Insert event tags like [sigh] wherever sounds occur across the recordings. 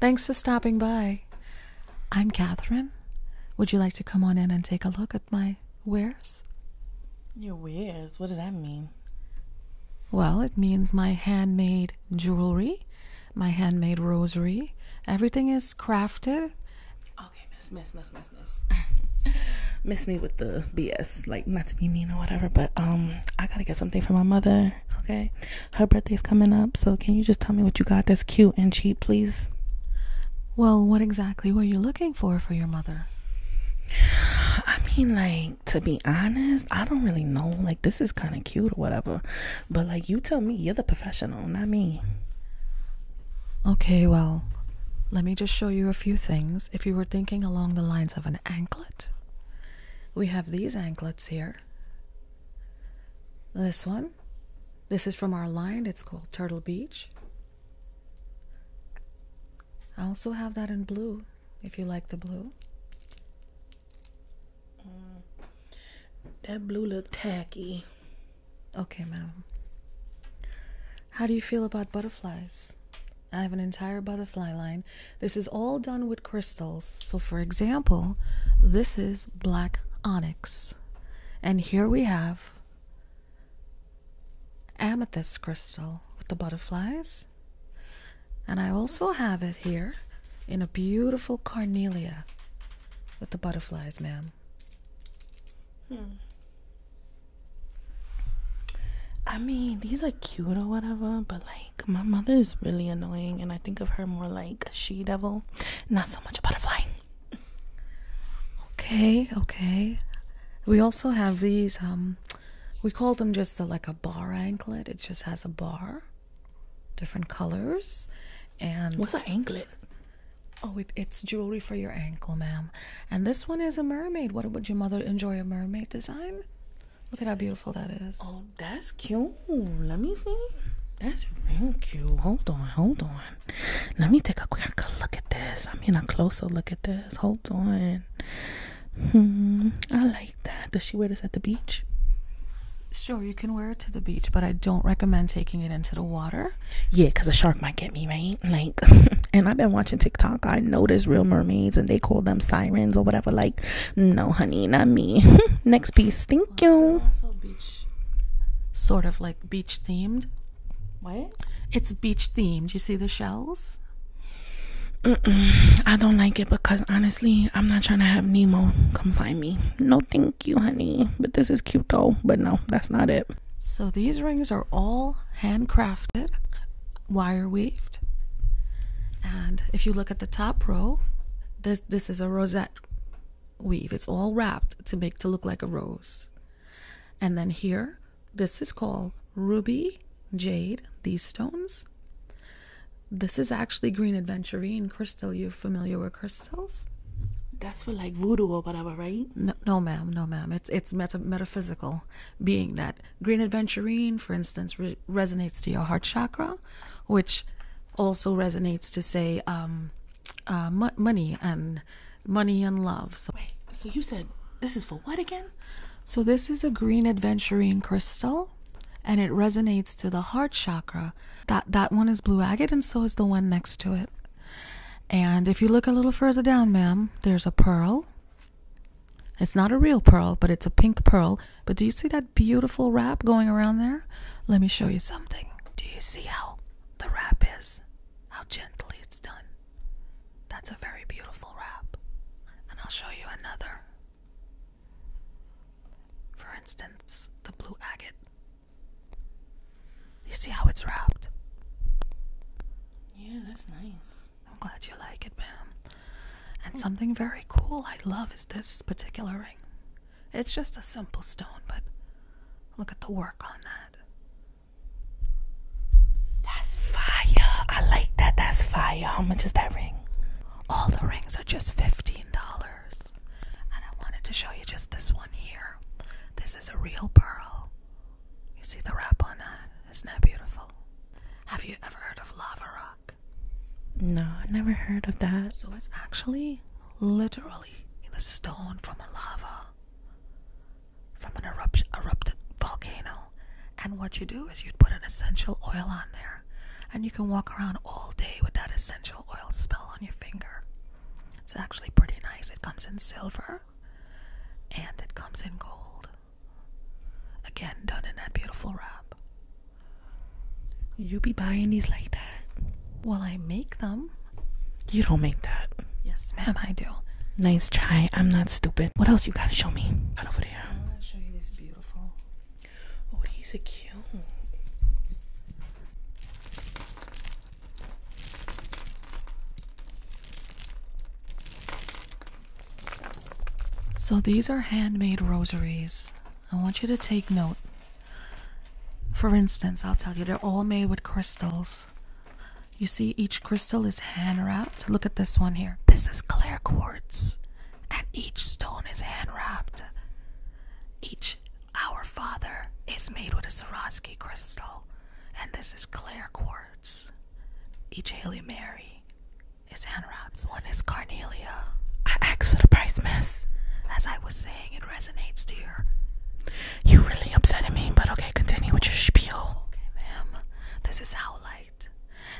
Thanks for stopping by. I'm Catherine. Would you like to come on in and take a look at my wares? Your wares? What does that mean? Well, it means my handmade jewelry, my handmade rosary. Everything is crafted. Okay, miss, miss, miss, miss, miss. [laughs] miss me with the BS, like not to be mean or whatever, but um, I gotta get something for my mother. Okay, her birthday's coming up, so can you just tell me what you got that's cute and cheap, please? Well, what exactly were you looking for for your mother? I mean, like, to be honest, I don't really know. Like, this is kind of cute or whatever. But, like, you tell me, you're the professional, not me. Okay, well, let me just show you a few things. If you were thinking along the lines of an anklet, we have these anklets here. This one. This is from our line. It's called Turtle Beach. I also have that in blue if you like the blue. Mm. that blue look tacky. Okay, ma'am. How do you feel about butterflies? I have an entire butterfly line. This is all done with crystals. So, for example, this is black onyx, and here we have amethyst crystal with the butterflies, and I also have it here in a beautiful carnelia with the butterflies, ma'am. Hmm. I mean, these are cute or whatever, but like my mother is really annoying and I think of her more like a she devil, not so much a butterfly. Okay, okay. We also have these um we call them just uh, like a bar anklet. It just has a bar, different colors, and what's an anklet? Oh, it's jewelry for your ankle, ma'am. And this one is a mermaid. What would your mother enjoy a mermaid design? Look at how beautiful that is. Oh, that's cute. Let me see. That's real cute. Hold on, hold on. Let me take a quick look at this. I am in a closer look at this. Hold on. Hmm, I like that. Does she wear this at the beach? Sure, you can wear it to the beach, but I don't recommend taking it into the water. Yeah, because a shark might get me, right? Like, [laughs] and I've been watching TikTok. I know there's real mermaids and they call them sirens or whatever. Like, no, honey, not me. [laughs] Next piece guys. Thank you. sort of like beach themed. What? It's beach themed. You see the shells? I don't like it because honestly, I'm not trying to have Nemo come find me. No, thank you, honey. But this is cute though. But no, that's not it. So these rings are all handcrafted, wire weaved. And if you look at the top row, this this is a rosette weave. It's all wrapped to make to look like a rose. And then here, this is called ruby, jade, these stones. This is actually green adventurine crystal. You're familiar with crystals? That's for like voodoo or whatever, right? No, ma'am, no, ma'am. It's it's metaphysical, being that green adventurine, for instance, resonates to your heart chakra, which also resonates to say um, uh, money and money and love. So, Wait, so you said this is for what again? So this is a green adventurine crystal, and it resonates to the heart chakra. That that one is blue agate, and so is the one next to it. And if you look a little further down, ma'am, there's a pearl. It's not a real pearl, but it's a pink pearl but do you see that beautiful wrap going around there? Let me show you something. Do you see how the wrap is? How gently it's done. That's a very beautiful wrap. And I'll show you another. For instance, the blue agate. You see how it's wrapped? Yeah, that's nice. I'm glad you like it, ma'am. And something very cool I love is this particular ring. It's just a simple stone, but look at the work on that. That's fire. I like that. That's fire. How much is that ring? All the rings are just $15. And I wanted to show you just this one here. This is a real pearl. You see the wrap on that? Isn't that beautiful? Have you ever heard of lava rock? No, I never heard of that. So it's actually literally in the stone from a lava, from an erupt erupted volcano. And what you do is you put an essential oil on there, and you can walk around all day with that essential oil spell on your finger. It's actually pretty nice. It comes in silver, and it comes in gold. Again, done in that beautiful wrap. You be buying these like that? Well, I make them. You don't make that. Yes, ma'am, I do. Nice try. I'm not stupid. What else you gotta show me? Out over there. I'm gonna show you this beautiful. Oh, these A cute. So these are handmade rosaries I want you to take note. For instance, I'll tell you, they're all made with crystals. You see, each crystal is hand wrapped. Look at this one here. This is clear quartz, and each stone is hand wrapped. Each Our Father is made with a Swarovski crystal, and this is clear quartz. Each Hail Mary is hand one is Carnelia. I asked for the price, miss. As I was saying, it resonates to your. You really upsetting me, but okay, continue with your spiel. Okay, ma'am. This is how light.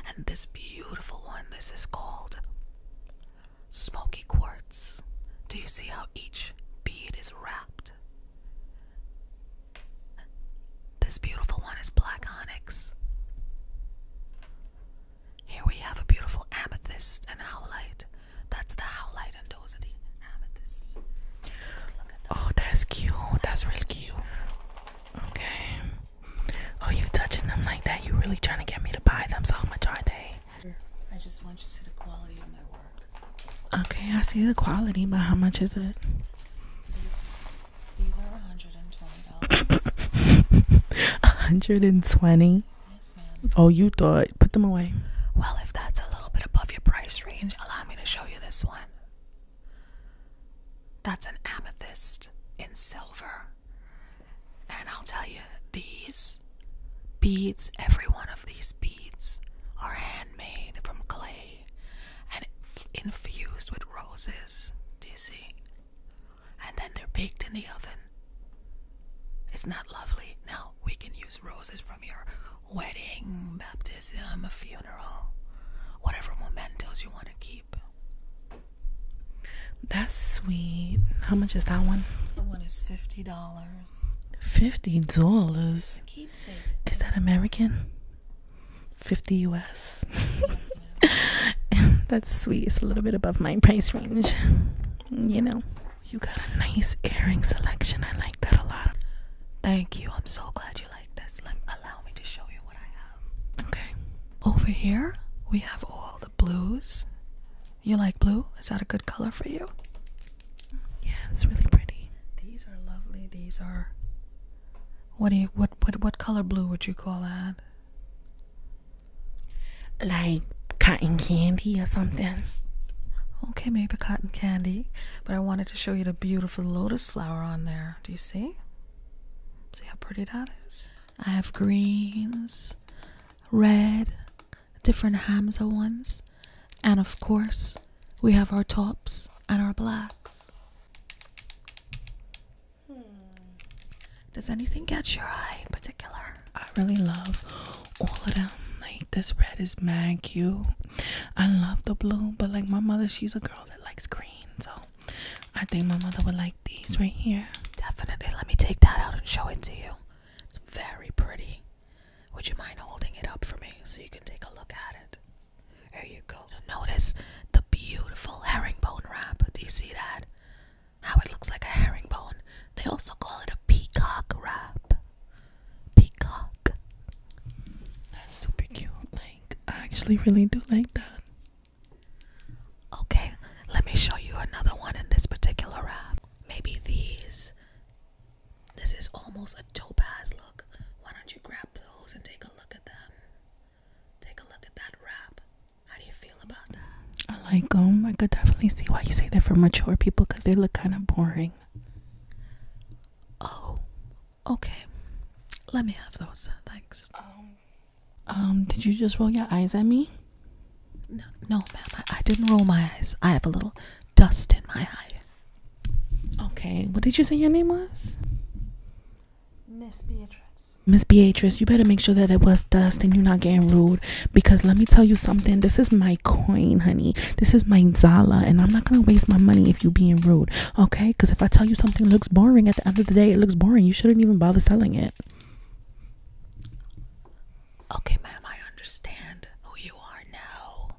And this beautiful one, this is called Smoky Quartz. Do you see how each bead is wrapped? This beautiful one is Black Onyx. Here we have a beautiful amethyst and howlite. That's the howlite, and those are the amethysts. oh, that's cute. That's really cute. Okay. Oh, you touching them like that? You really trying to get me to buy them? So how much are they? I just want you to see the quality of my work. Okay, I see the quality, but how much is it? These, these are $120. $120? [laughs] Oh, you thought. Put them away. Well, if that's a little bit above your price range, allow me to show you this one. That's an amethyst in silver. And I'll tell you, these beads, every one of these beads, are handmade from clay and infused with roses. Do you see? and then they're baked in the oven. is not that lovely. Now we can use roses from your wedding, baptism, a funeral, whatever mementos you want to keep. That's sweet. How much is that one? That one is fifty dollars. Fifty dollars. Keepsake. Is that American? Fifty U.S. [laughs] [laughs] That's sweet. It's a little bit above my price range. You know, you got a nice earring selection. I like that a lot. Thank you. I'm so glad you like this. Let, allow me to show you what I have. Okay. Over here, we have all the blues. You like blue? Is that a good color for you? Yeah, it's really pretty. These are lovely. These are. What do you what what what color blue would you call that? Like cotton candy or something. Okay, maybe cotton candy, but I wanted to show you the beautiful lotus flower on there. Do you see? See how pretty that is? I have greens, red, different Hamza ones, and of course, we have our tops and our blacks. Hmm. Does anything catch your eye in particular? I really love all of them. Like this red is mad cute. I love the blue, but like my mother, she's a girl that likes green, so I think my mother would like these right here. Definitely. Let me take that out and show it to you. It's very pretty. Would you mind holding it up for me so you can take a look at it? There you go. Notice the beautiful herringbone wrap. Do you see that? how it looks like a herringbone. They also call it a peacock wrap. Peacock. That's super cute. Like, I actually really do like that. Okay, let me show you another one in this particular wrap. Maybe these. This is almost a topaz look. Why don't you grab those and take a look at them? Take a look at that wrap. How do you feel about that? I like them. I could definitely see why you say they're for mature people because they look kind of boring. Oh, okay. Let me have those. Uh, thanks. Um, um, did you just roll your eyes at me? No, no, ma'am. I, didn't roll my eyes. I have a little dust in my eye. Okay. What did you say your name was? Miss Beatrice. Miss Beatrice, you better make sure that it was dust and you're not getting rude. Because let me tell you something. This is my coin, honey. This is my Zala. And I'm not going to waste my money if you are being rude. Okay? Because if I tell you something looks boring, at the end of the day, it looks boring. You shouldn't even bother selling it. Okay, ma'am. I understand who you are now.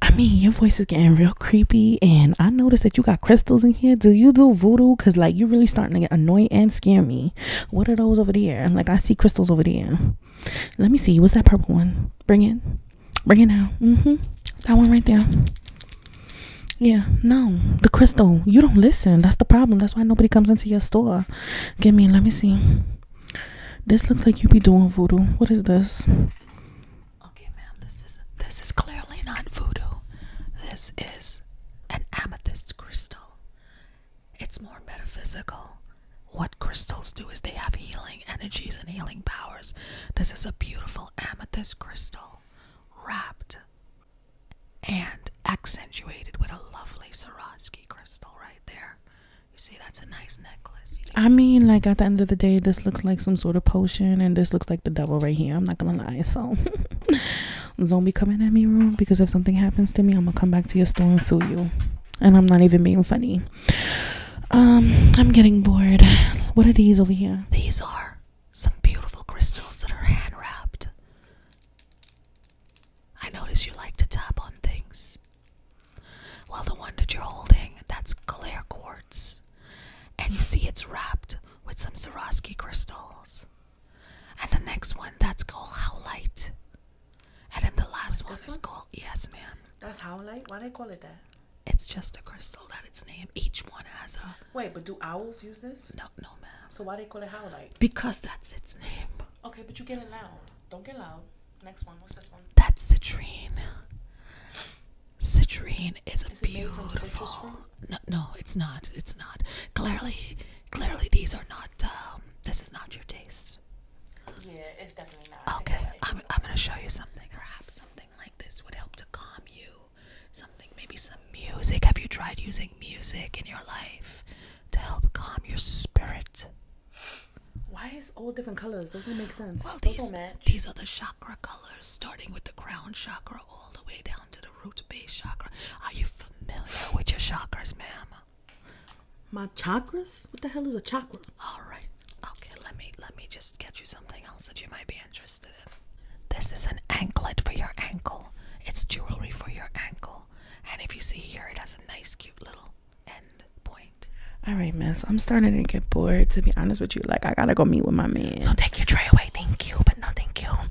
I mean, your voice is getting real creepy. And I noticed that you got crystals in here. Do you do voodoo? Because, like, you're really starting to get annoying and scare me. What are those over there? Like I see crystals over there. Let me see. What's that purple one? Bring it. Bring it now. hmm That one right there. Yeah, no, the crystal. You don't listen. That's the problem. That's why nobody comes into your store. Give me, let me see. This looks like you be doing voodoo. What is this? Okay, ma'am, this is this is clearly not voodoo. This is an amethyst crystal. It's more metaphysical. What crystals do is they have healing energies and healing powers. This is a beautiful amethyst crystal, wrapped and accentuated with a lovely Swarovski crystal right there. You see, that's a nice necklace. I mean, like at the end of the day, this looks like some sort of potion, and this looks like the devil right here. I'm not gonna lie. So, [laughs] don't be coming at me room, because if something happens to me, I'm gonna come back to your store and sue you. And I'm not even being funny. Um, I'm getting bored. What are these over here? These are some beautiful crystals that are hand wrapped. I notice you like to tap on things. Well, the one that you're holding, that's clear quartz. And you see it's wrapped with some Swarovski crystals. And the next one that's called How Light. And then the last one is called Yes ma'am. That's How Light? Why do they call it that? It's just a crystal that it's named. Each one has a Wait, but do owls use this? No no ma'am. So why do they call it How Light? Because that's its name. Okay, but you get it loud. Don't get loud. Next one, what's this one? That's citrine. Citrine is a is beautiful. No, no, it's not. It's not. Clearly, clearly these are not. Um, this is not your taste. Yeah, it's definitely not. Okay, I'm I'm gonna show you something. Perhaps something like this would help to calm you. Something, maybe some music. Have you tried using music in your life to help calm your spirit? Why is all different colors? Those don't make sense. Well, these, these are the chakra colors, starting with the crown chakra all the way down to the to root base chakra. Are you familiar with your chakras, ma'am? My chakras? What the hell is a chakra? All right. Okay, let me let me just get you something else that you might be interested in. This is an anklet for your ankle. It's jewelry for your ankle. And if you see here, it has a nice cute little end point. All right, miss. I'm starting to get bored to be honest with you. Like I got to go meet with my man. So take your tray away. Thank you, but no thank you.